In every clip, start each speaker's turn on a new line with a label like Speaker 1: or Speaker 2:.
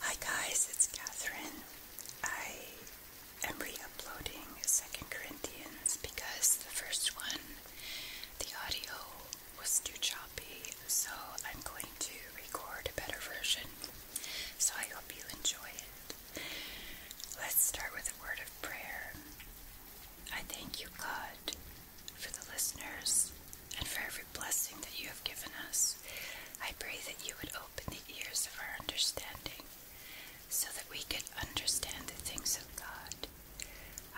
Speaker 1: Hi guys, it's Catherine. I am re-uploading 2nd Corinthians because the first one, the audio was too choppy, so I'm going to record a better version. So I hope you enjoy it. Let's start with a word of prayer. I thank you, God, for the listeners, and for every blessing that you have given us. I pray that you would open the ears of our understanding so that we could understand the things of God.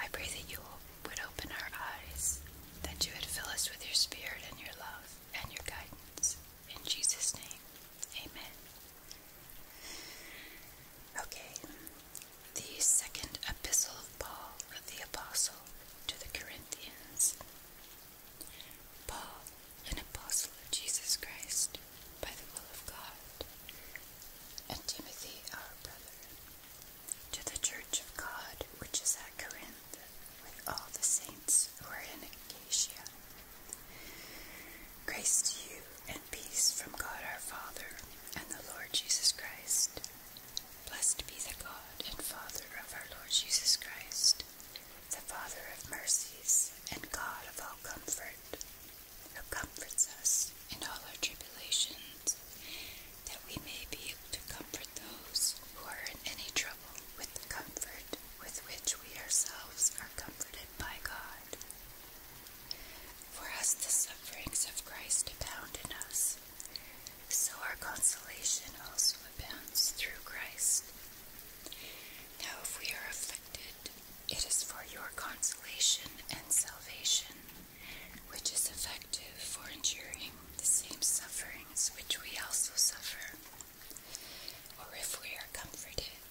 Speaker 1: I pray that you would open our eyes, that you would fill us with your spirit and your love and your guidance. In Jesus' name, amen. Okay, the second epistle of Paul, the Apostle, to the Corinthians. Paul, an apostle of Jesus Christ by the will of God, and Timothy, our brother, to the church of God which is at Corinth, with all the saints who are in Acacia. Grace to you and peace from God our Father and the Lord Jesus Christ. Blessed be the God and Father of our Lord Jesus Christ, the Father of mercies and God of all comfort, who comforts us in all our tribulations, that we may be able to comfort those who are in any trouble with the comfort with which we ourselves are comforted by God. For as the sufferings of Christ abound in us, so our consolation also abounds through Christ. Now, if we are afflicted, it is for your consolation and salvation, which is effective for enduring the same sufferings which we also suffer. Or if we are comforted,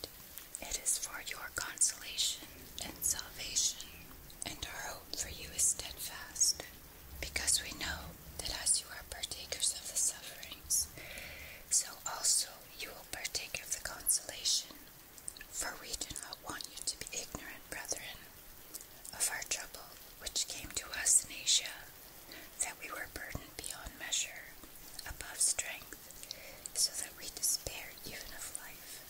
Speaker 1: it is for your consolation and salvation, and our hope for you is steadfast, because we know that as you are partakers of the sufferings, so also you will partake of the consolation. For we do not want you to be ignorant, brethren, of our trouble which came to us in Asia, that we were burdened beyond measure, above strength, so that we despaired even of life.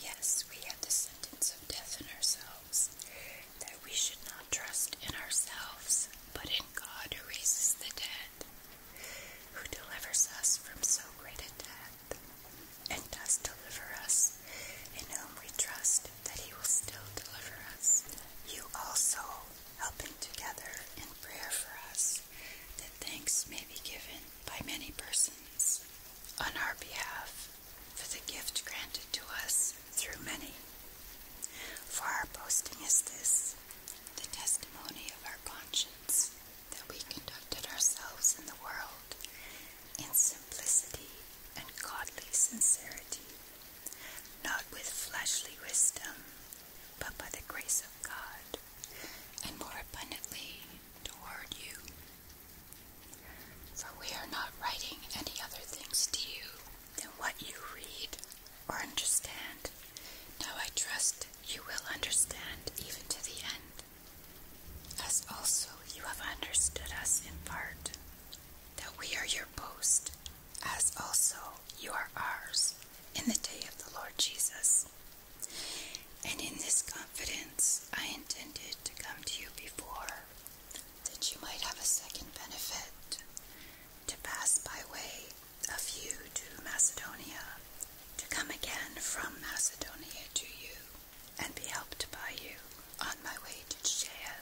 Speaker 1: Yes, we had the sentence of death in ourselves, that we should not trust in ourselves, but in God who raises the dead, who delivers us from so great a death, and does deliver us, in whom we trust that he will still deliver us. You also, helping together in prayer for us, that thanks may be given by many persons on our behalf for the gift granted to us through many. For our boasting is this, the testimony of our conscience, that we conducted ourselves in the world in simplicity and godly sincerity, not with fleshly wisdom, but by the grace of God, and more abundantly toward you for we are not writing any other things to you than what you read or understand. Now I trust you will understand even to the end, as also you have understood us in part, that we are your boast, as also you are ours in the day of the Lord Jesus. And in this confidence I intended to come to you before, that you might have a second benefit to pass by way of you to Macedonia, to come again from Macedonia to you, and be helped by you on my way to Judea.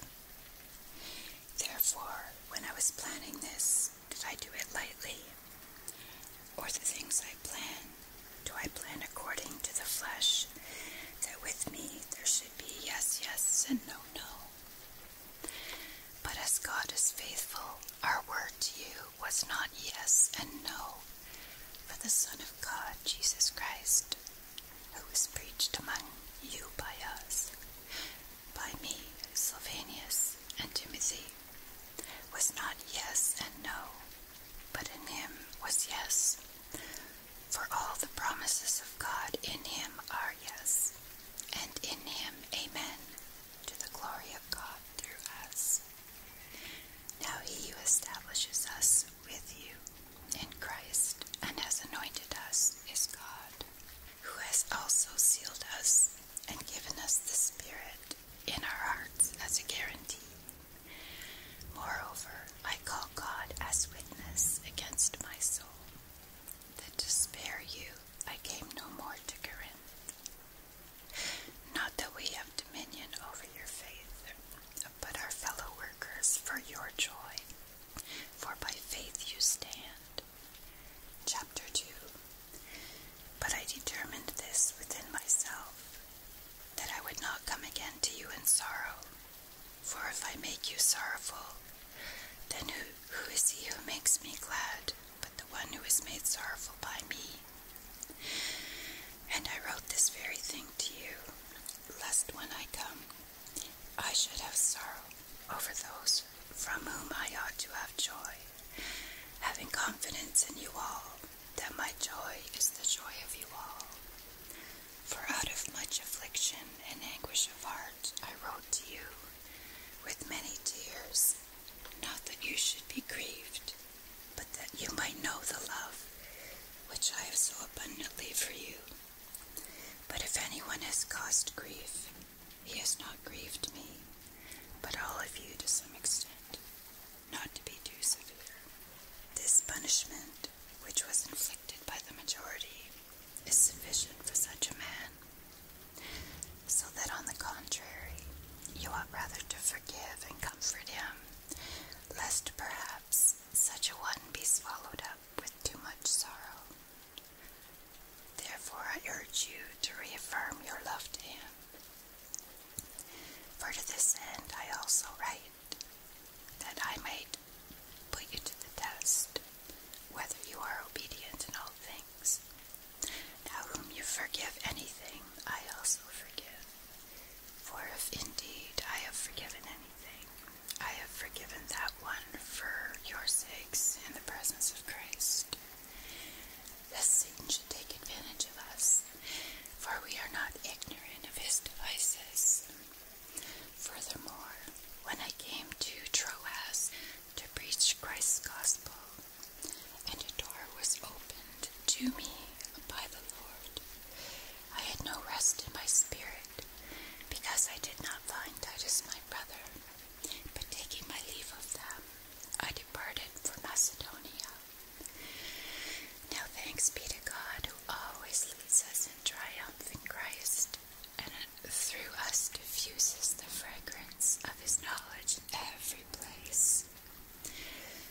Speaker 1: Therefore, when I was planning this, did I do it lightly? Or the things I plan, do I plan according to the flesh, that with me there should be yes, yes, and no, no. But as God is faithful, our word to you was not yes and no. For the Son of God, Jesus Christ, who was preached among you by us, by me, Sylvanus, and Timothy, was not yes and no, but in him was yes, for all the promises of God in him are yes, and in him amen, to the glory of God through us. Now he who establishes us with you in Christ and has anointed us is God, who has also sealed us and given us the Spirit in our hearts as a guarantee. Moreover, I call God as witness against my soul, that to spare you I came no more to Corinth. Not that we have dominion over your faith, but are fellow workers for your joy, for by faith you stand. Chapter 2 But I determined this within myself, that I would not come again to you in sorrow. For if I make you sorrowful, then who is he who makes me glad but the one who is made sorrowful by me? And I wrote this very thing to you, lest when I come I should have sorrow over those from whom I ought to have joy, having confidence in you all, that my joy is the joy of you all. For out of much affliction and anguish of heart I wrote to you with many tears, not that you should be grieved, but that you might know the love which I have so abundantly for you. But if anyone has caused grief, he has not grieved me, but all of you to some extent, not to be too severe. This punishment, which was inflicted, rejected by the majority is sufficient for such a man. So that, on the contrary, you ought rather to forgive and comfort him, lest perhaps such a one be swallowed up with too much sorrow. Therefore, I urge you to reaffirm your love to him. For to this end I also write, that I might put you to the test, whether you are obedient in all things. Now, whom you forgive anything, I also forgive. For if indeed I have forgiven anything, I have forgiven that one for your sakes in the presence of Christ. Thus Satan should take advantage of us, for we are not ignorant of his devices. Furthermore, when I came to Troas to preach Christ's gospel, and a door was opened to me by the Lord, I had no rest in my spirit, because I did not find Titus my brother. But taking my leave of them, I departed for Macedonia. Now thanks be to God who always leads us triumph in Christ, and through us diffuses the fragrance of his knowledge in every place.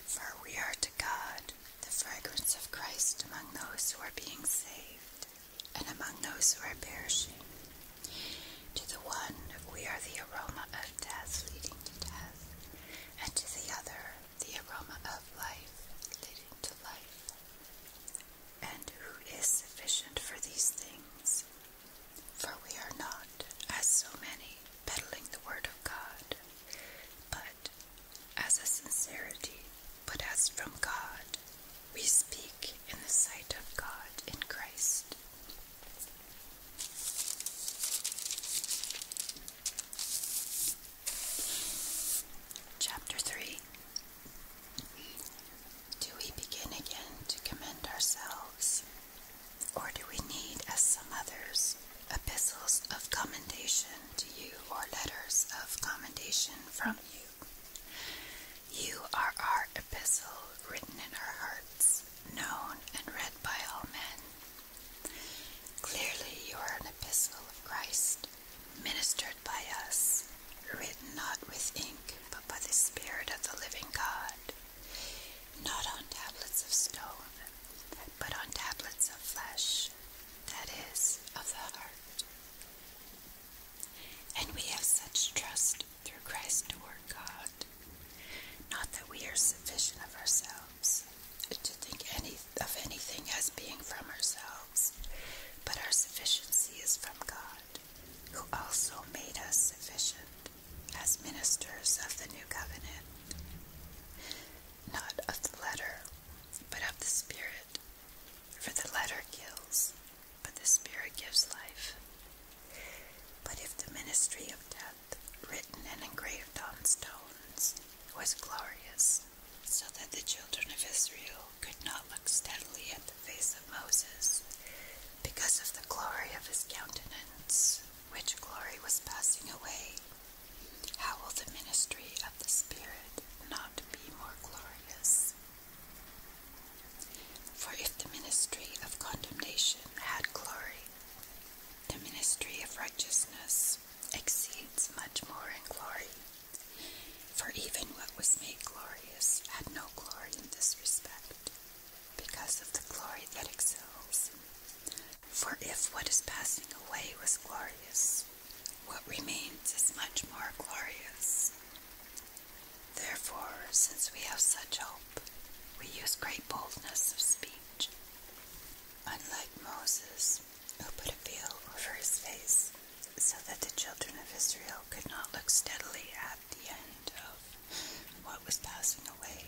Speaker 1: For we are to God the fragrance of Christ among those who are being saved and among those who are perishing. To the one, we are the aroma of death leading to death, and to the other, the aroma of life leading to life and who is sufficient for these things. For we are not, as so many, peddling the word of God, but as a sincerity, but as from God, we speak in the sight of God in Christ. Chapter 3 do we begin again to commend ourselves, or do we need, as some others, epistles of commendation to you, or letters of commendation from you? You are our epistle written in our hearts, known and read by all men. Clearly, you are an epistle of Christ, ministered by us, written not with ink, but by the Spirit of the living God, not on tablets of stone, but on tablets of flesh, that is, of the heart. And we have such trust through Christ toward God. Not that we are sufficient of ourselves to think any of anything as being from ourselves, but our sufficiency is from God, who also made us sufficient as ministers of the new covenant, not of the letter, but of the Spirit. For the letter kills, but the Spirit gives life. But if the ministry of death, written and engraved on stones, was glorious, so that the children of Israel could not look steadily at the face of Moses because of the glory of his countenance, which glory was passing away. How will the ministry of the Spirit not be more glorious? For if the ministry of condemnation had glory, the ministry of righteousness exceeds much more in glory. For even what was made glorious had no glory in this respect, because of the glory that excels. For if what is passing away was glorious, what remains is much more glorious. Therefore, since we have such hope, we use great boldness of speech. Unlike Moses, who put a veil over his face so that the children of Israel could not look steadily at the end of what was passing away.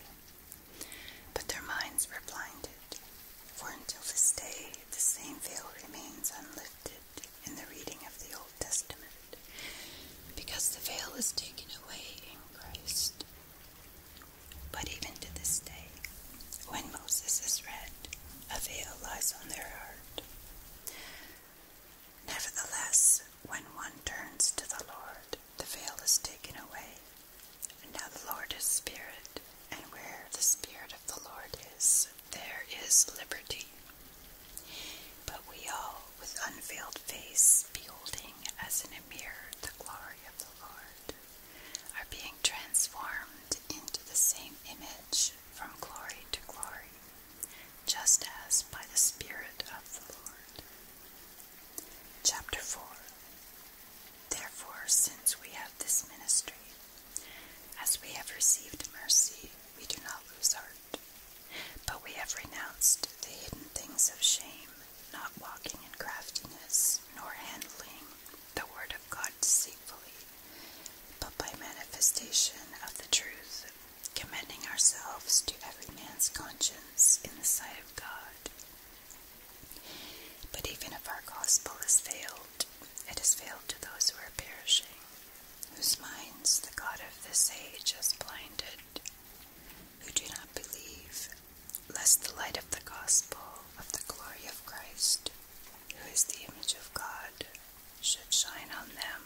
Speaker 1: But their minds were blinded, for until this day the same veil remains unlifted in the reading of the Old Testament, because the veil is taken away in Christ. But even to this day, when Moses is read, a veil lies on their heart. Nevertheless, when one turns to the Lord, the veil is taken away. And now the Lord is Spirit, and where the Spirit of the Lord is, there is liberty. But we all, with unveiled face, beholding as in a mirror the glory of the Lord, are being transformed into the same image from glory to glory, just as by the Spirit of the Lord. Chapter 4 Therefore, since we have this ministry, as we have received mercy, we do not lose heart, but we have renounced the hidden things of shame, not walking in craftiness, nor handling the word of God deceitfully but by manifestation of the truth, commending ourselves to every man's conscience in the sight of God. But even if our gospel has failed, it has failed to those who are perishing, whose minds the God of this age has blinded, who do not believe, lest the light of the gospel of the glory of Christ, who is the image of God, should shine on them.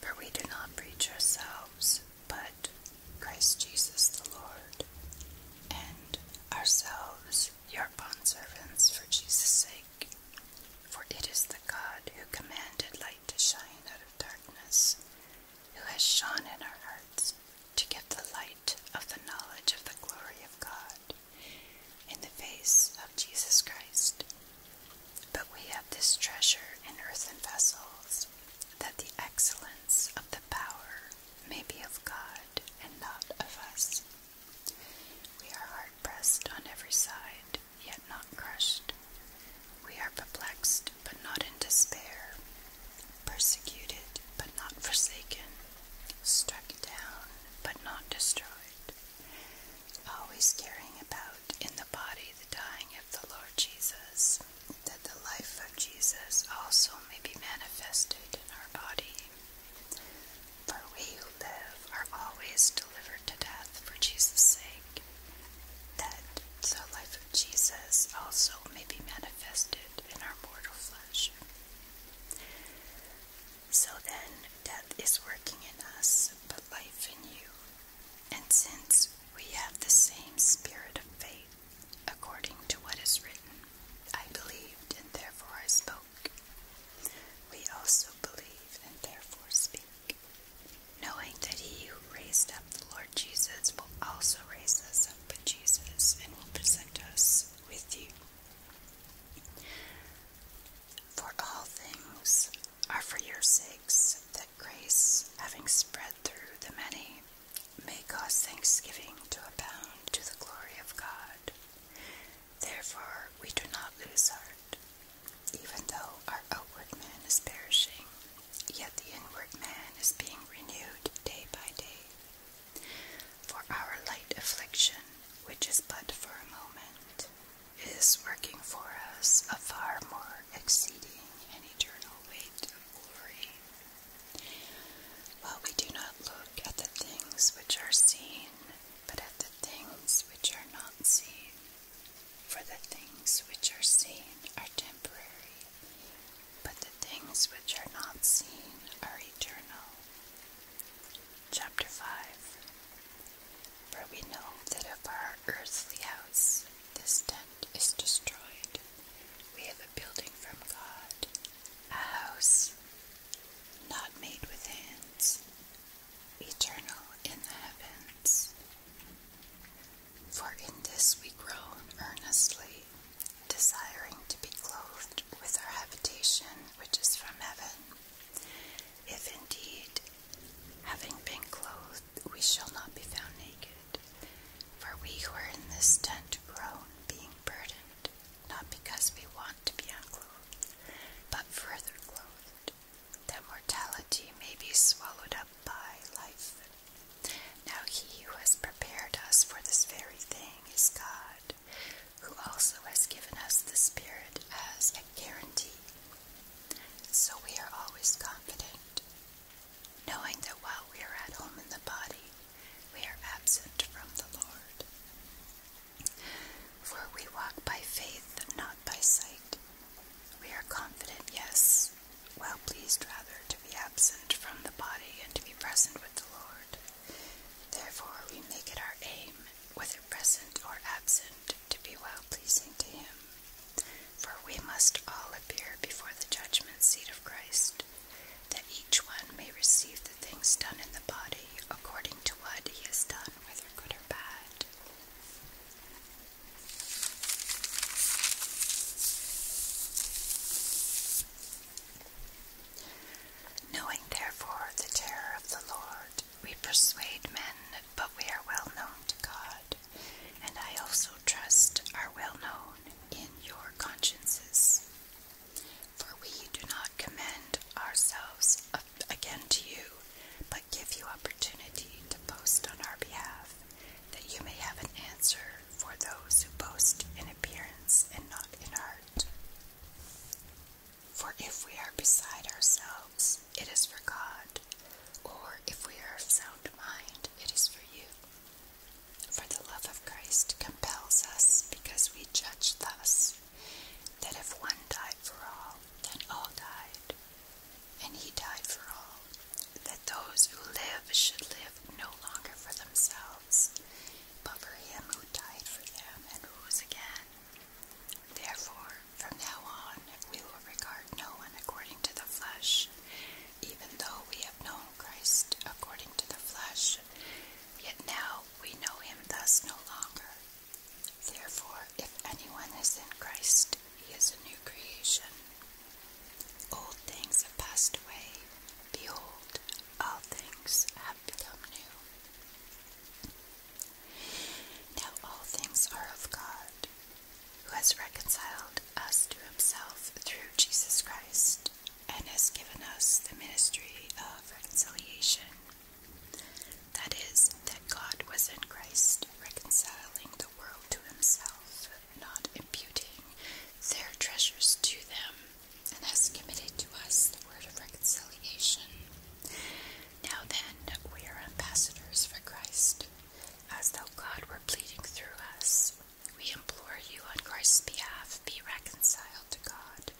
Speaker 1: For we do not preach ourselves, but Christ Jesus the Lord, and ourselves your bondservants for Jesus' sake. For it is the God who commanded light to shine out of darkness, who has shone in our hearts to give the light of the knowledge of the glory of God in the face of Jesus Christ. But we have this treasure in earthen vessels, that the excellence of the power may be of God and not of us. We are hard pressed on every side, yet not crushed. We are perplexed, but not in despair, persecuted, but not forsaken, struck down, but not destroyed always caring about in the body the dying of the Lord Jesus, that the life of Jesus also may be manifested in our body. For we who live are always delivered to death for Jesus' sake, that the life of Jesus also may be manifested in our mortal flesh. So then, death is working in us, but life in you. And since we have the same spirit of faith, according to what is written, I believed and therefore I spoke. We also believe and therefore speak, knowing that he who raised up the Lord Jesus will also raise us up with Jesus and will present us with you for all things are for your sakes, that grace, having spread through the many, may cause thanksgiving to abound to the glory of God. Therefore, we do not lose heart, even though our outward man is perishing, yet the inward man is being renewed day by day. For our light affliction, which is but for a moment, is working for us a far more exceeding and eternal weight of glory. While we do not look at the things which are seen, but at the things which are not seen, for the things which are seen are temporary, but the things which are not seen are eternal. Chapter 5 For we know that if our earthly house, this tent, is destroyed, we have a building from God, a house not made with hands, eternal in the heavens. For in this we groan earnestly, desiring to be clothed with our habitation which is from heaven if indeed, having been clothed, we shall not be found naked, for we who are in this tent groan, being burdened, not because we want to be unclothed, but further clothed, that mortality may be swallowed up by life. Now he who has prepared us for this very thing is God, who also has given us the Spirit as a guarantee. So we are always confident, knowing that while we are at home in the body, we are absent from the Lord. For we walk by faith, not by sight. We are confident, yes, well pleased rather, to be absent from the body and to be present with the Lord. Therefore, we make it our aim whether present or absent, to be well pleasing to him. For we must all appear before the judgment seat of Christ, that each one may receive the things done in the body according to what he has done, whether good or bad. Knowing therefore the terror of the Lord, we persuade men, but we are well known to God, and I also trust are well known in your consciences. For we do not commend ourselves again to you, but give you opportunity to boast on our behalf, that you may have an answer for those who boast in appearance and not in heart. For if we are beside ourselves, it is for God, or if we are of sound mind, it is for you. For the love of Christ compels us, because we judge thus that if one died for all, then all died, and he died for all, that those who live should live no longer for themselves, but for him who died for them and rose again. Therefore, from now on, we will regard no one according to the flesh. Even though we have known Christ according to the flesh, yet now we know him thus no longer. Therefore, if anyone is in Christ, he is a new creation. Old things have passed away. Behold, all things have become new. Now all things are of God, who has reconciled us to himself through Jesus Christ, and has given us the ministry of reconciliation. That is, that God was in Christ, reconciling the world to himself, not imputing their treasures to them and has committed to us the word of reconciliation. Now then, we are ambassadors for Christ, as though God were pleading through us. We implore you on Christ's behalf, be reconciled to God.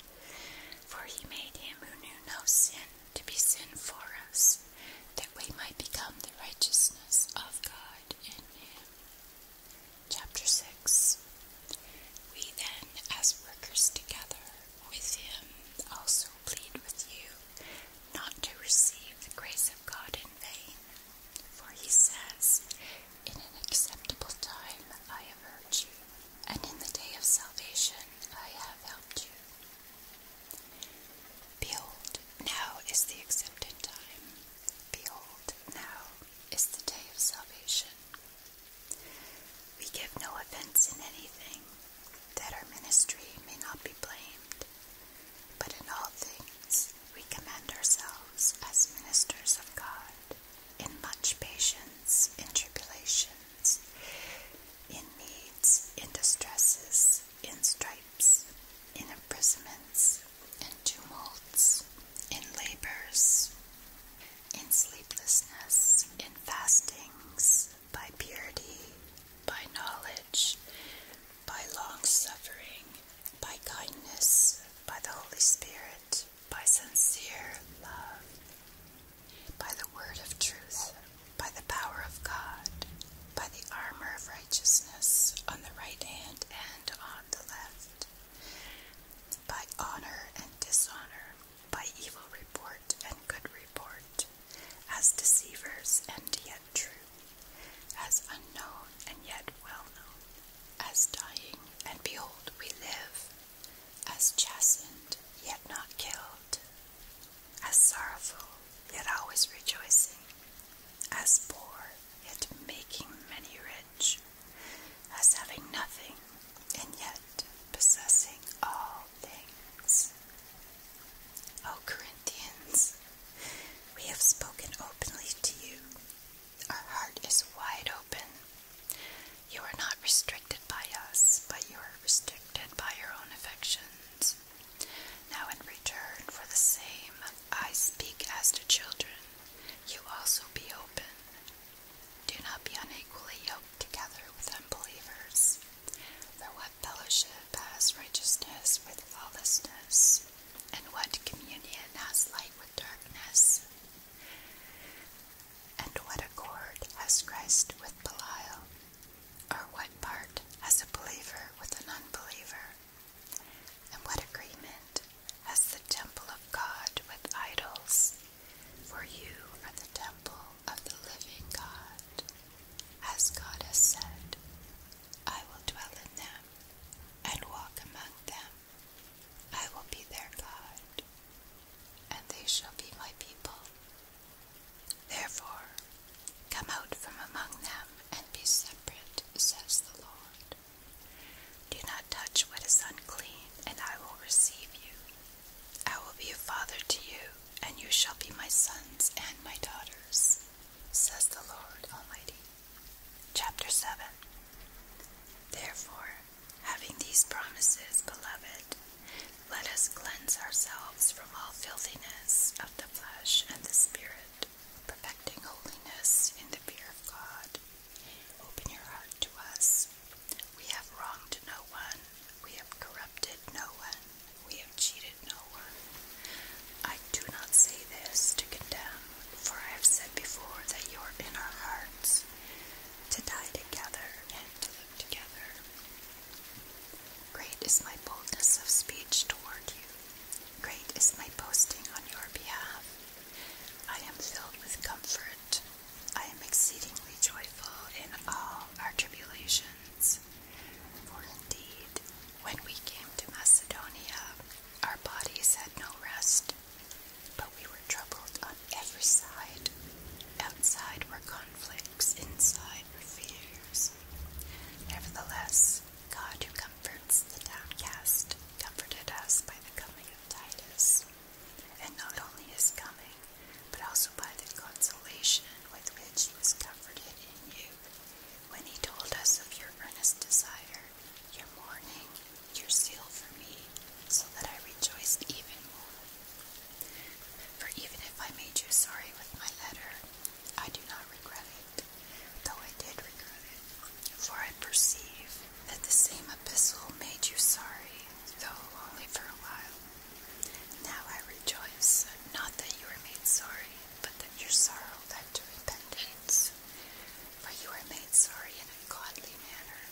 Speaker 1: For he made him who knew no sin to be sin for us, that we might become the righteousness of God in him. Chapter 6 We then, as workers together, with him also plead with you not to receive the grace of God in vain. For he says, In an acceptable time I have heard you, and in the day of salvation I have helped you. Behold, now is the accepted time. Behold, now is the day of salvation. We give no offense in anything, that our ministry may not be blamed, but in all things we commend ourselves as ministers of God, in much patience, in tribulations, in needs, in distresses, in stripes, in imprisonments, in tumults, in labors, in sleeplessness, in fastings, by purity, by knowledge, by long suffering, by kindness, by the Holy Spirit, by sincere love, by the word of truth, by the power of God, by the armor of righteousness on the right hand and on the left, by honor and dishonor, by evil report and good report, as deceivers and yet true, as unknown and yet well known, as dying and behold we live, as chastened yet not killed, as sorrowful yet always rejoicing, as poor yet making many rich, as having nothing and yet possessing all things. O Corinthians, we have spoken openly to you. Our heart is wide open. You are not restricted by us, but you are restricted by your own affections. Now, in return for the same, I speak as to children. You also be open, do not be unequally yoked together with unbelievers. For what fellowship has righteousness with lawlessness, and what communion has light with darkness? And what accord has Christ with Belial? Or what part has a believer with an unbeliever? And what agreement has the temple of God with idols? For you are the temple of the living God. As God has said, I will dwell in them and walk among them. I will be their God, and they shall be my people. Therefore, come out from among them and be separate, says the Lord. Do not touch what is unclean, and I will receive you, I will be a father to you, and you shall be my sons and my daughters, says the Lord Almighty. Chapter 7 Therefore, having these promises, beloved, let us cleanse ourselves from all filthiness of the flesh and the spirit, perfecting holiness in the fear of God. Open your heart to us, we have wronged no one, we have corrupted no one, we have cheated no one. I do not say this to condemn, for I have said before that you are in our hearts to die together and to live together. Great is my boldness of speech toward you, great is my boasting on your behalf. I am filled with comfort I am exceedingly joyful in all our tribulations. For indeed, when we came to Macedonia, our bodies had no rest, but we were troubled on every side. Outside were conflicts, inside were fears. Nevertheless, God who comforts the downcast comforted us by the coming of Titus. And not only his coming, but also by the consolation with which he was comforted in you when he told us of your earnest desire, your mourning, your zeal for me, so that I rejoiced even more. For even if I made you sorry with my letter, I do not regret it, though I did regret it. For I perceive that the same epistle made you sorry, though only for a while. Now I rejoice, not that you were made sorry, but that your sorrow led to repentance. For you were made sorry in a godly manner,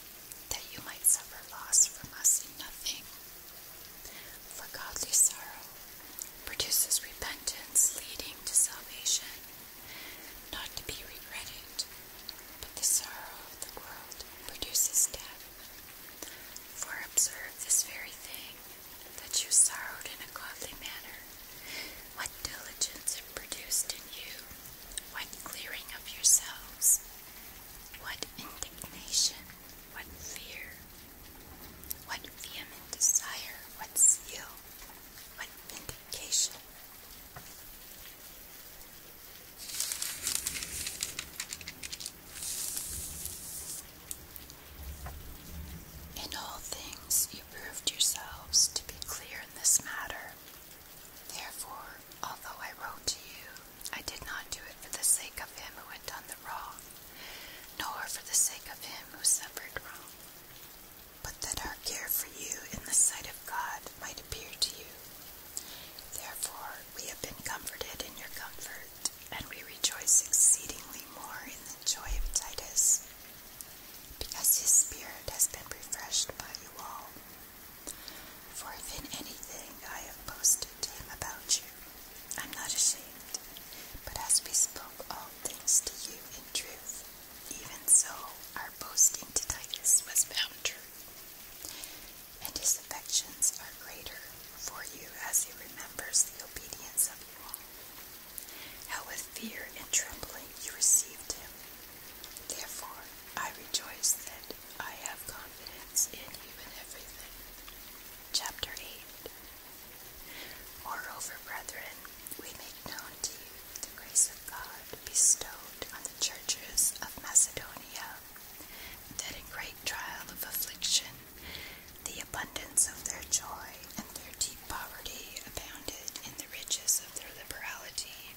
Speaker 1: that you might suffer loss from us in nothing. For godly sorrow produces repentance leading to salvation, not to be regretted, but the sorrow of the world produces death. For observe this very thing, that you sorrowed in a godly manner. What diligence it produced in you, what clearing of yourselves, what indignation, what fear, what vehement desire, what zeal, what vindication. In all things you proved yourselves to be clear in this matter. Therefore, although I wrote to you, I did not do it for the sake of him who had done the wrong, nor for the sake of him who suffered wrong, but that our care for you in the sight of God might appear to you. Therefore, we have been comforted in your comfort, and we rejoice exceedingly more in the joy of Titus, because his spirit has been refreshed by you all. For if in anything I have boasted to him about you, I'm not ashamed, but as we spoke all things to you in truth, even so our boasting to Titus was found true and his affections are greater for you as he remembers the obedience of you all. How with fear and trembling you received him. Therefore, I rejoice that I have confidence in you in everything. Chapter 8 Moreover, brethren, we make known to you the grace of God bestowed on the churches of Macedonia that in great trial of affliction, the abundance of their joy and their deep poverty abounded in the riches of their liberality.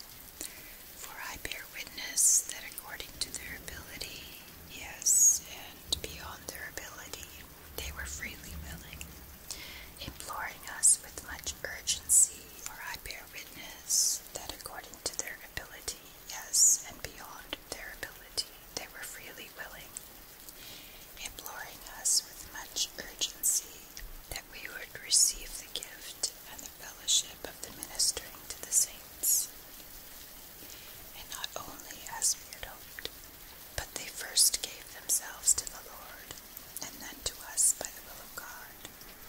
Speaker 1: For I bear witness that according to their ability, yes, and beyond their ability, they were freely willing, imploring us with much urgency. For I bear witness that according to their ability, yes, and beyond their ability, they were freely willing, imploring us with much urgency that we would receive the gift and the fellowship of the ministering to the saints. And not only as we had hoped, but they first gave themselves to the Lord, and then to us by the will of God.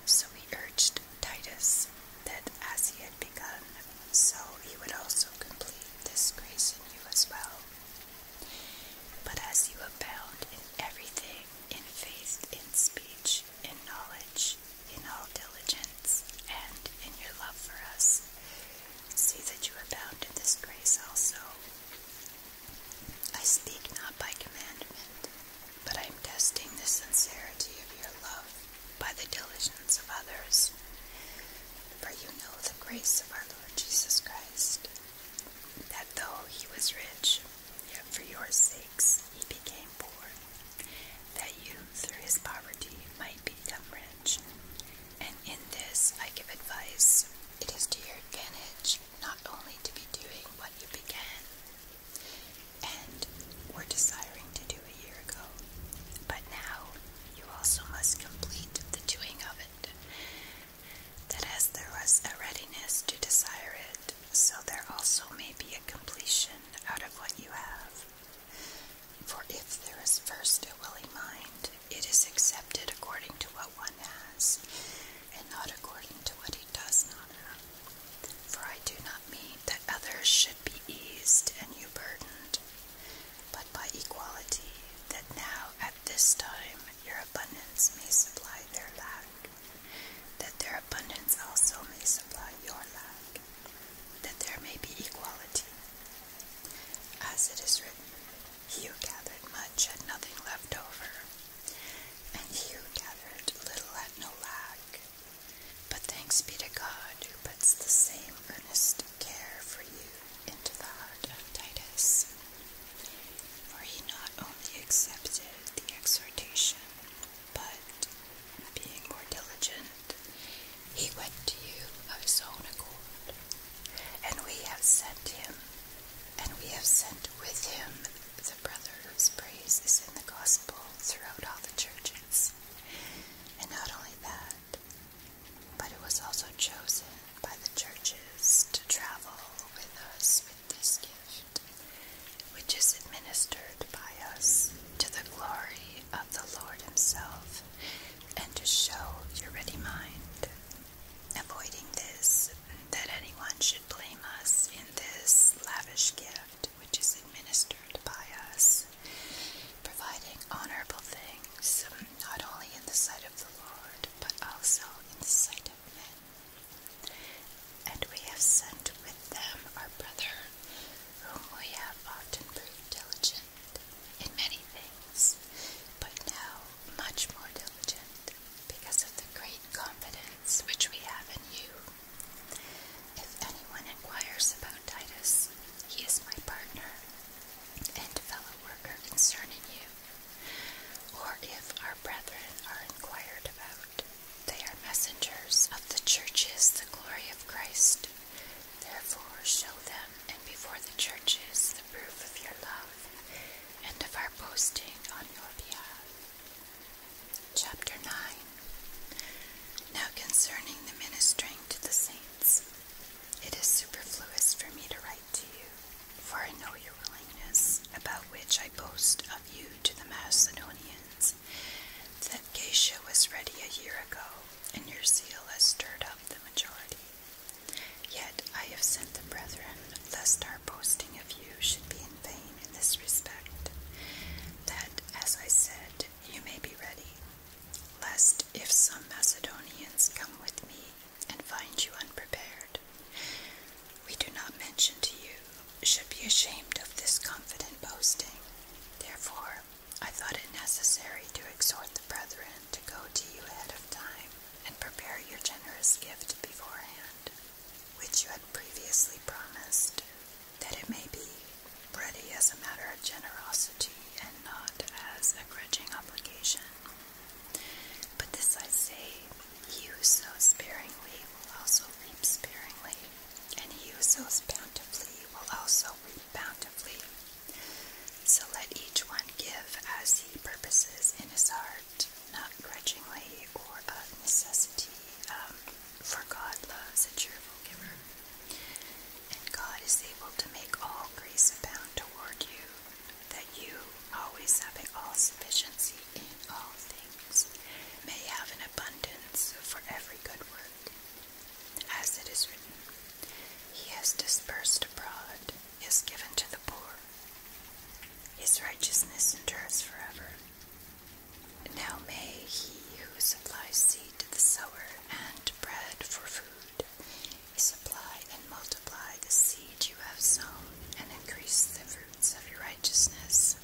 Speaker 1: So he urged Titus that as he had begun, so he would also complete this grace in you as well. But as you abound in everything, in faith, in speech, in knowledge, in all diligence, and in your love for us, see that you abound in this grace also. I speak not by commandment, but I am testing the sincerity of your love by the diligence of others. For you know the grace of our Lord Jesus Christ, that though he was rich, yet for your sakes he became poor, that you through his poverty might become rich. And in this I give advice. It is to your advantage not only to be doing what you began, and were desiring to do a year ago. But now you also must complete the doing of it, that as there was a readiness to desire it, so there also may be a completion out of what you have. For if there is first a willing mind, it is accepted according to what one has, and not according to what he does not have. For I do not mean that others should be eased and you burdened, but by equality, that now at this time your abundance may supply their lack, that their abundance also may supply your lack, that there may be equality. As it is written, you gathered much and nothing left over, and you gathered little and no lack. But thanks be to God who puts the same earnest care for you into the heart of Titus. For he not only accepted the exhortation, but being more diligent, he went to you of his own accord. And we have sent him, and we have sent with him the brother whose praise is in the gospel throughout all the churches. And not only that, but it was also chosen by the churches to travel with us with this gift, which is administered by us to the glory of the Lord Himself, and to show your ready mind. Avoiding this, that anyone should blame us in this lavish gift, which is administered by us, providing honorable things, um, not only in the sight of the Lord, but also in the sight of men. And we have sent with them our brother, whom we have often proved diligent in many things, but now much more diligent, because of the great confidence which we have in you. If anyone inquires about Titus, he is my partner and fellow worker concerning you. Or if our brethren are inquired about, they are messengers of the churches, the glory of Christ. Therefore, show them and before the churches the proof of your love and of our boasting on your behalf. Chapter 9 Now concerning the ministering to the saints, it is superfluous for me to write to you, for I know your willingness, about which I boast of you to the Macedonians, that Geisha was ready a year ago, and your zeal has stirred up the majority. Yet I have sent the brethren, lest our boasting of you should be in vain in this respect, that, as I said, you may be ready, lest if some Macedonians come with me and find you unprepared, we do not mention to you, should be ashamed of this confident boasting. Therefore, I thought it necessary to exhort the brethren to go to you ahead of time and prepare your generous gift beforehand, which you had previously promised, that it may be ready as a matter of generosity and not as a grudging obligation. But this I say, you who sows sparingly will also reap sparingly, and he who sows bountifully will also reap bountifully. So let each one give as he purposes in his heart, not grudgingly or of necessity. Um, for God loves a cheerful giver, and God is able to make all grace abound toward you, that you, always having all sufficiency in all things, may have an abundance for every good work. As it is written, He has dispersed abroad, is given to the poor. His righteousness endures forever. Now may he who supplies seed to the sower and bread for food supply and multiply the seed you have sown and increase the fruits of your righteousness,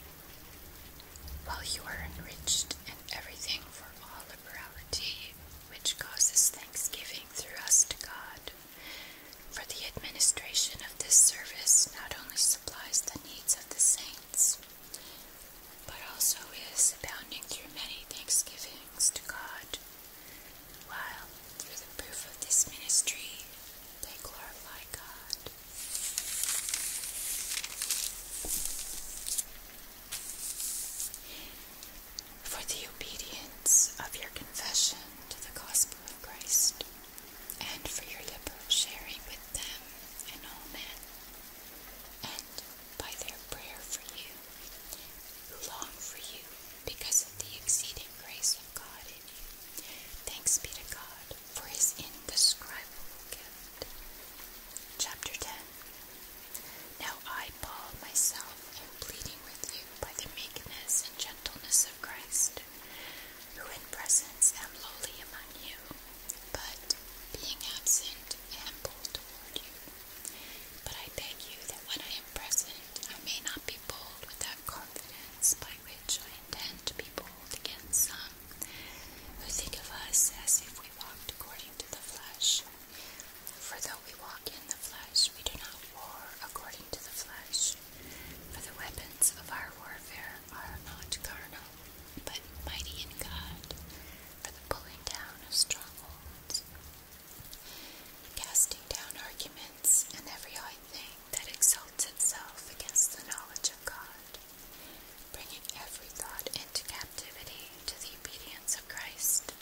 Speaker 1: while you are enriched in everything for all liberality which causes thanksgiving through us to God. For the administration of this service not only supplies the needs of the saints, but also is abounding through many thanksgivings to God, while through the proof of this ministry they glorify God. For the obedience of your confession to the gospel of Christ, and for your liberal sharing with them and all men, and by their prayer for you, who long for you because of the exceeding grace of God in you. Thanks be to God for his indescribable gift. Chapter 10 Now I, Paul, myself am pleading with you by the meekness and gentleness of Christ, who in presence am lowly among you but being absent I am bold toward you. But I beg you that when I am present, I may not be bold with that confidence by which I intend to be bold against some who think of us as if we walked according to the flesh. For though we walk in the flesh, we do not war according to the flesh. For the weapons of our warfare are not carnal, but mighty in God for the pulling down of strongholds, casting down arguments and every high thing that exalts itself against the knowledge of God, bringing every thought into captivity to the obedience of Christ,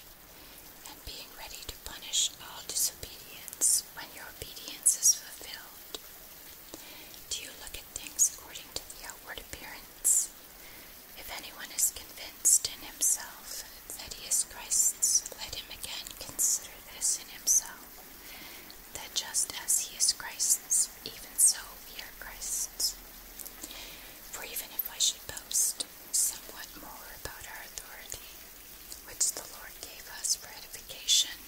Speaker 1: and being ready to punish all disobedience when your obedience is fulfilled. Do you look at things according to the outward appearance? If anyone is convinced in himself that he is Christ's, let him again consider this in himself, that just as he is Christ's, even so we are Christ's. For even if I should boast somewhat more about our authority, which the Lord gave us for edification,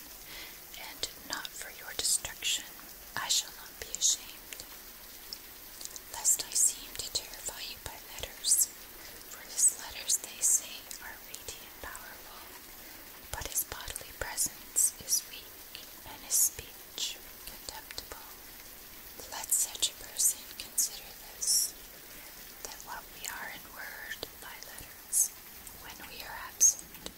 Speaker 1: and not for your destruction, I shall not be ashamed. Lest I seem to terrify you by letters, for his letters, they say, are weighty and powerful, but his bodily presence is weak, and his speech contemptible. Let such a person consider this, that what we are in word by letters, when we are absent,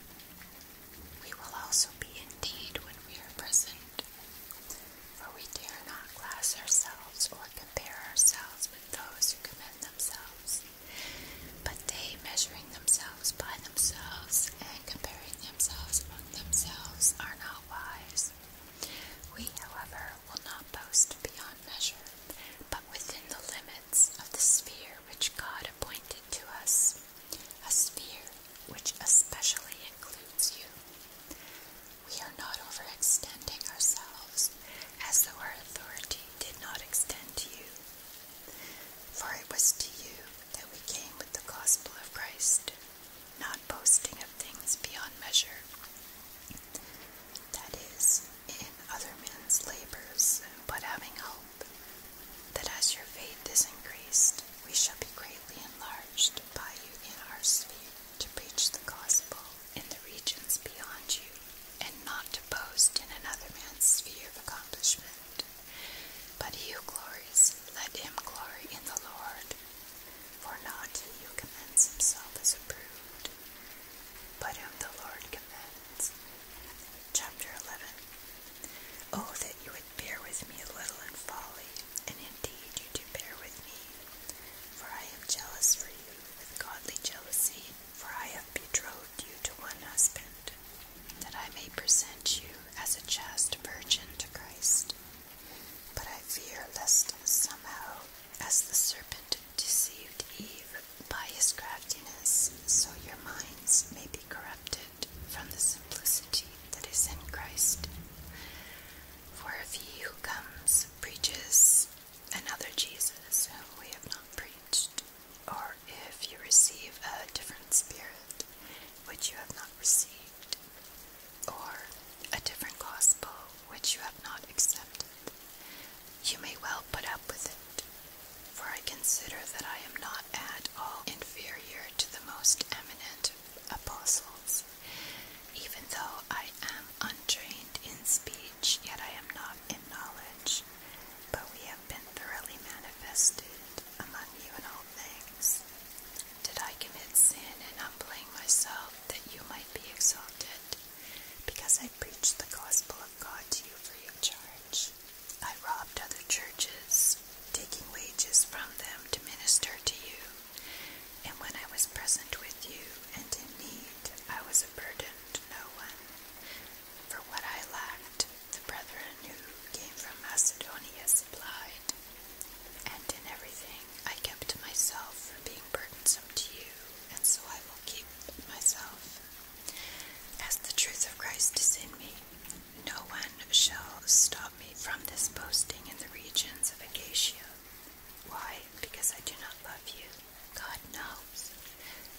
Speaker 1: we will also be indeed when we are present, for we dare not class ourselves or compare ourselves with those who commend themselves, but they measuring themselves by themselves and comparing themselves among themselves are not wise. We, however, will not boast beyond measure, but within the limits of the sphere which God appointed to us a sphere which especially includes you. We are not overextending ourselves as though our authority did not extend to you. For it was to you that we came with the gospel of Christ, not boasting of things beyond measure. That is, in other men's labors, but having hope that as your faith is increased, we shall be greatly enlarged by you in our sphere to preach the gospel in the regions beyond you, and not to boast in another man's sphere of accomplishment. But he who glories, let him glory in the Lord. For not he who commends himself is approved, but him the Lord commends. Chapter 11 Oh, that you would bear with me a little in folly, and indeed you do bear with me. For I am jealous for you with godly jealousy, for I have betrothed you to one husband, that I may present you as a chaste virgin to Christ. But I fear lest somehow, as the serpent deceived Eve by his craftiness, so your minds may be corrupted from the simplicity that is in Christ. For if he who comes preaches another Jesus whom we have not preached, or if you receive a different spirit which you have not received, or a different gospel which you have not accepted, you may well put up with it. For I consider that I am not at all inferior to the most eminent apostles. Even though I am untrained in speech, yet I am not in knowledge, but we have been thoroughly manifested among you in all things. Did I commit sin and in humbling myself that you might be exalted? Because I preached the gospel of God to you for your charge. I robbed other churches taking wages from them to minister to you. And when I was present with you and in need, I was a burden to no one. For what I lacked, the brethren who came from Macedonia supplied. And in everything, I kept myself from being burdensome to you, and so I will keep myself. As the truth of Christ is in me, no one shall stop me from this boasting in the regions of Acacia. Why? Because I do not love you. God knows.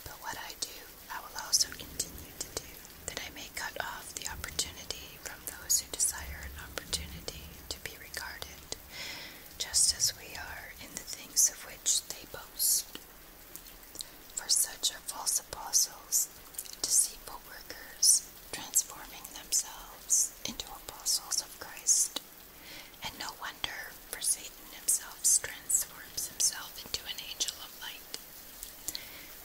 Speaker 1: But what I do, I will also continue to do, that I may cut off the opportunity from those who desire an opportunity to be regarded, just as we are in the things of which they boast. For such are false apostles Acts deceitful workers transforming themselves into apostles of Christ. And no wonder, for Satan himself transforms himself into an angel of light.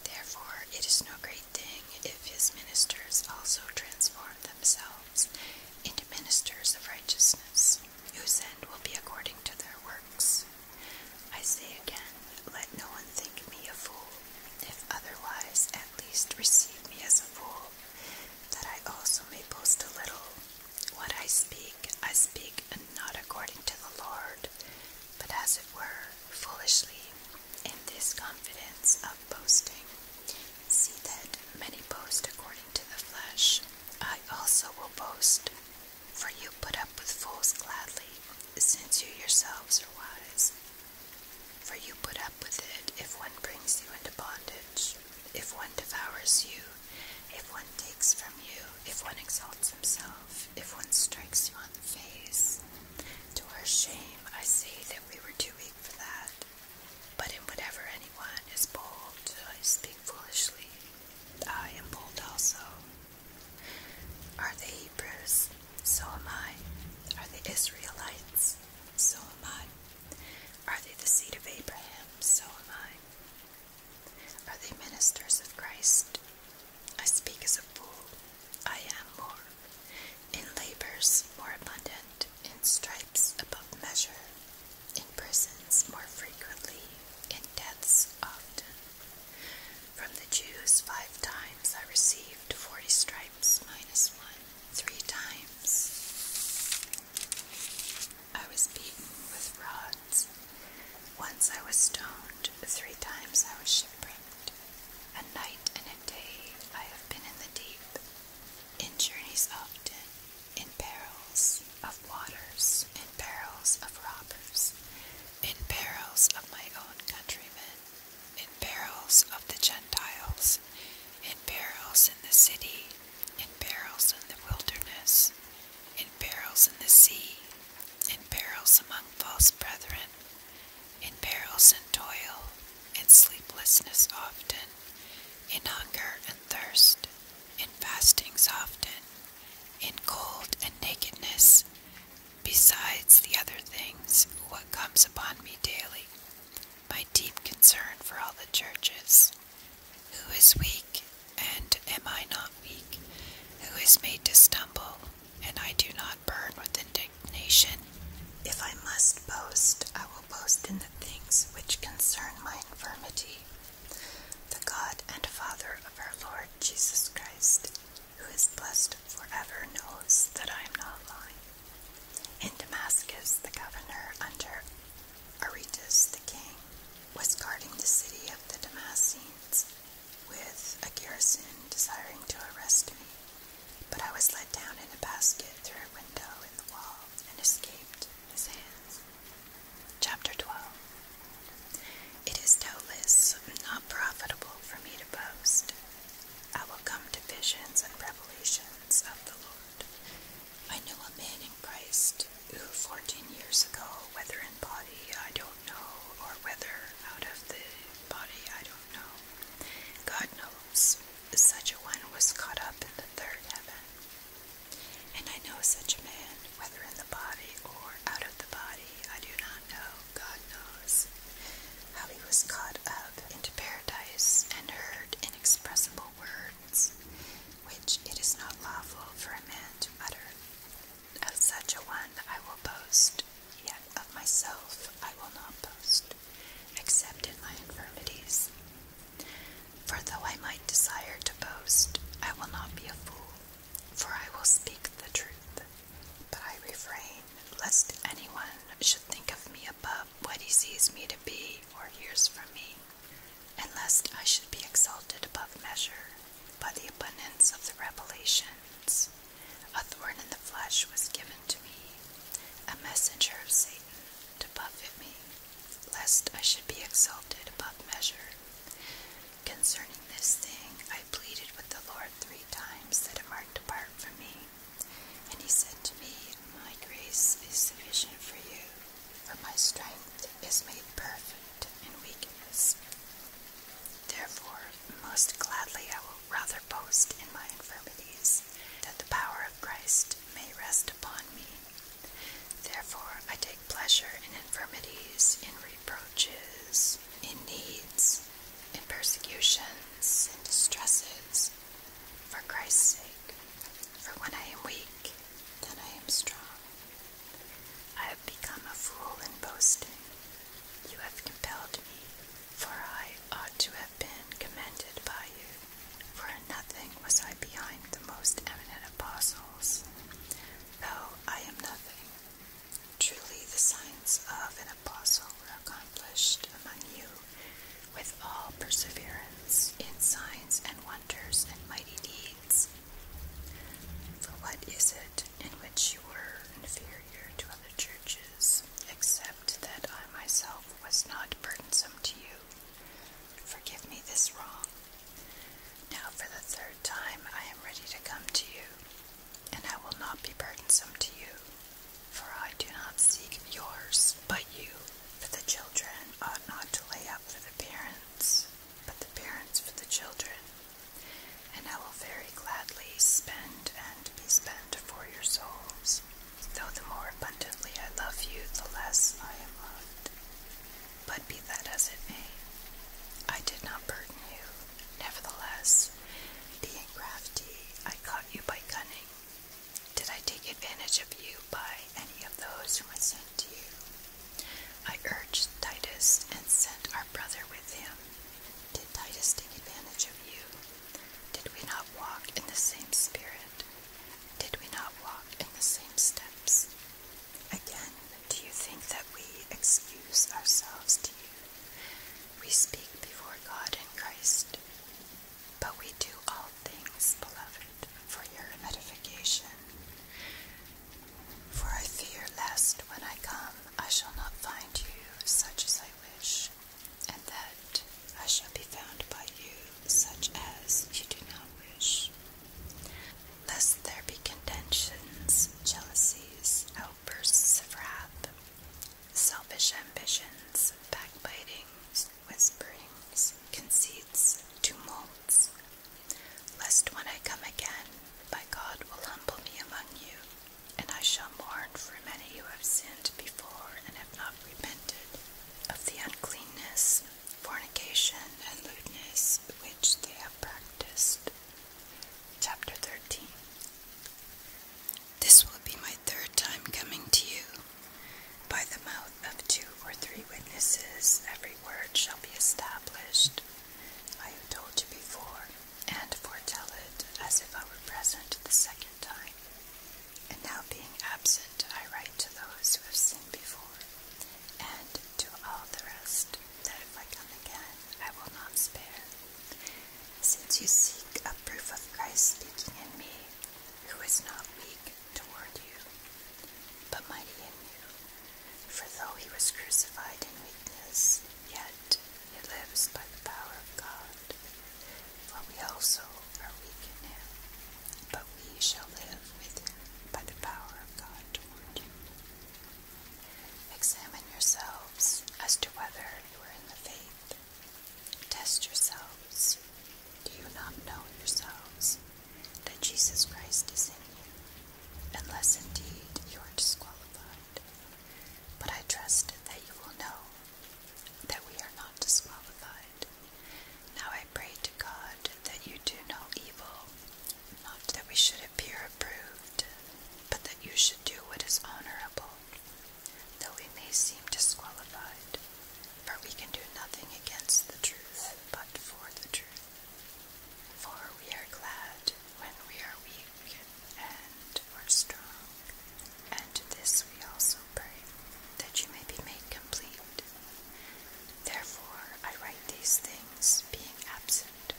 Speaker 1: Therefore, it is no great thing if his ministers also transform themselves into ministers of righteousness, whose end will be according to their works. I say again, let no one think me a fool, if otherwise, at least receive me as a fool, that I also may boast a little. What I speak, I speak not according to the Lord, but as it were, foolishly, in this confidence of boasting. See that many boast according to the flesh. I also will boast, for you put up with fools gladly, since you yourselves are wise. For you put up with it if one brings you into bondage, if one devours you, if one takes from you, if one exalts himself, if one strikes you on the face. To our shame, I say that we were too weak for that. But in whatever anyone is bold, I speak foolishly. I am bold also. Are they Hebrews? So am I. Are they Israelites? So am I. Are they the seed of Abraham? So am I. Are they ministers of Christ? I speak as a fool. I am more. In labors more abundant, in stripes above measure, in prisons more frequently, in deaths often. From the Jews, five times I received forty stripes minus one, three times. I was beaten with rods. Once I was stoned, three times I was shipwrecked. A night and a day I have been in the deep, in journeys often, in perils of waters, in perils of robbers, in perils of my own countrymen, in barrels of the Gentiles, in barrels in the city, in barrels in the wilderness, in barrels in the sea, in barrels among false brethren, in perils and toil, in sleeplessness often, in hunger and thirst, in fastings often, in cold and nakedness, Besides the other things, what comes upon me daily, my deep concern for all the churches. Who is weak, and am I not weak? Who is made to stumble, and I do not burn with indignation? If I must boast, I will boast in the things which concern my infirmity. The God and Father of our Lord Jesus Christ who is blessed forever knows that I am not lying. In Damascus, the governor under Aretas the king was guarding the city of the Damascenes with a garrison desiring to arrest me. But I was let down in a basket through a window in the wall and escaped his hands. Chapter 12 It is doubtless not profitable for me to boast, I will come to visions and revelations of the Lord. I knew a man in Christ who, 14 years ago, whether in body, I don't know, or whether out of the body, I don't know, God knows, such a one was caught up in the third heaven. And I know such a man, whether in the body or out of the body, I do not know. God knows, how he was caught up into paradise and heard inexpressible words, which it is not lawful for a man to utter. Of such a one I will boast, yet of myself I will not boast, except in my infirmities. For though I might desire to boast, I will not be a fool, for I will speak the truth. But I refrain, lest anyone should think of me above what he sees me to be or hears from me, and lest I should be exalted above measure by the abundance of the revelations. A thorn in the flesh was given to me, a messenger of Satan to buffet me, lest I should be exalted above measure. Concerning this thing, I pleaded with the Lord three times that might hard from me. And he said to me, My grace is sufficient for you, for my strength is made perfect in weakness. Therefore, most gladly I will rather boast in my infirmities, that the power of Christ may rest upon me. Therefore, I take pleasure in infirmities, in reproaches troubles, in needs, in persecutions, in distresses, for Christ's sake. For when I am weak, then I am strong. I have become a fool in boasting. You have compelled me, for I ought to have been commended by you. For nothing was I behind the most eminent apostles, though I am nothing. Truly, the signs of an apostle were accomplished among you with all perseverance in signs and wonders and mighty deeds. For what is it in which you were inferior to other churches, except that I myself was not burdensome to you? Forgive me this wrong. Now, for the third time, I am ready to come to you and I will not be burdensome to you, for I do not seek yours, but you. For the children ought not to lay up for the parents, but the parents for the children. And I will very gladly spend and be spent for your souls. Though the more abundantly I love you, the less I am loved. But be that as it may, I did not burden you. Nevertheless, words. crafty, I caught you by cunning. Did I take advantage of you by any of those whom I sent to you? I urged Titus and sent our brother with him. Did Titus take advantage of you? Did we not walk in the same spirit? Did we not walk in the same steps? Again, do you think that we excuse ourselves to you? We speak before God and Christ, but we do all things, beloved, for your edification. For I fear lest when I come I shall not find you such as I wish, and that I shall be found by you such as you do not wish. Lest there be contentions, jealousies, outbursts of wrath, selfish ambitions, backbitings, whisperings, conceits, tumults. Lest when I come again, my God will humble me among you, and I shall mourn for many who have sinned before and have not repented of the uncleanness, fornication, and lewdness which they have practiced. Chapter 13 this will be my third time coming to you. By the mouth of two or three witnesses, every word shall be established. I have told you before, and foretell it as if I were present the second time. And now, being absent, I write to those who have seen before, and to all the rest, that if I come again, I will not spare. Since you seek a proof of Christ speaking in me, who is not weak toward you, but mighty in you, for though he was crucified in weakness, yet he lives by the power of God. For we also are weak in him, but we shall live with him by the power of God toward you. Examine yourselves as to whether you are in the faith. Test yourselves. Do you not know yourselves that Jesus Christ is in you, unless indeed you are disqualified? But I trust that you will know that we are not disqualified. Now I pray to God that you do no evil, not that we should appear approved, but that you should do what is honorable though we may seem disqualified, for we can do nothing against the truth but for the truth. For we are glad when we are weak and are strong, and this we also pray, that you may be made complete. Therefore I write these things, being absent,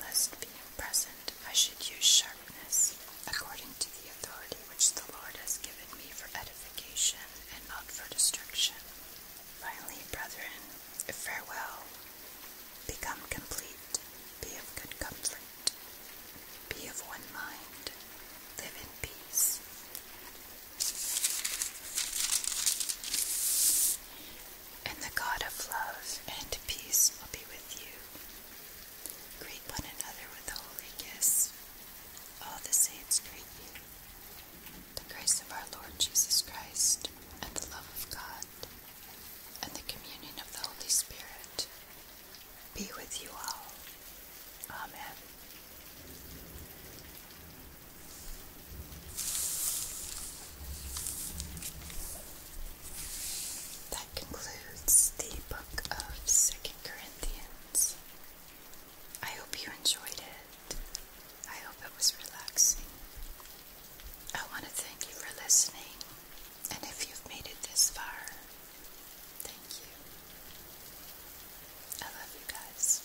Speaker 1: lest being present I should use sharpness, according to the authority which the Lord has given me for edification and not for destruction. Finally, brethren, farewell. Become complete. Be of good comfort. Be of one mind. Live in peace. And the God of love and peace will be with you. Greet one another with a holy kiss. All the saints greet you. The grace of our Lord Jesus Christ, and the love of God, and the communion of the Holy Spirit be with you all. Amen. That concludes the book of Second Corinthians. I hope you enjoyed it. I hope it was relaxing. I want to thank you for listening, and if you've made it this far, thank you. I love you guys.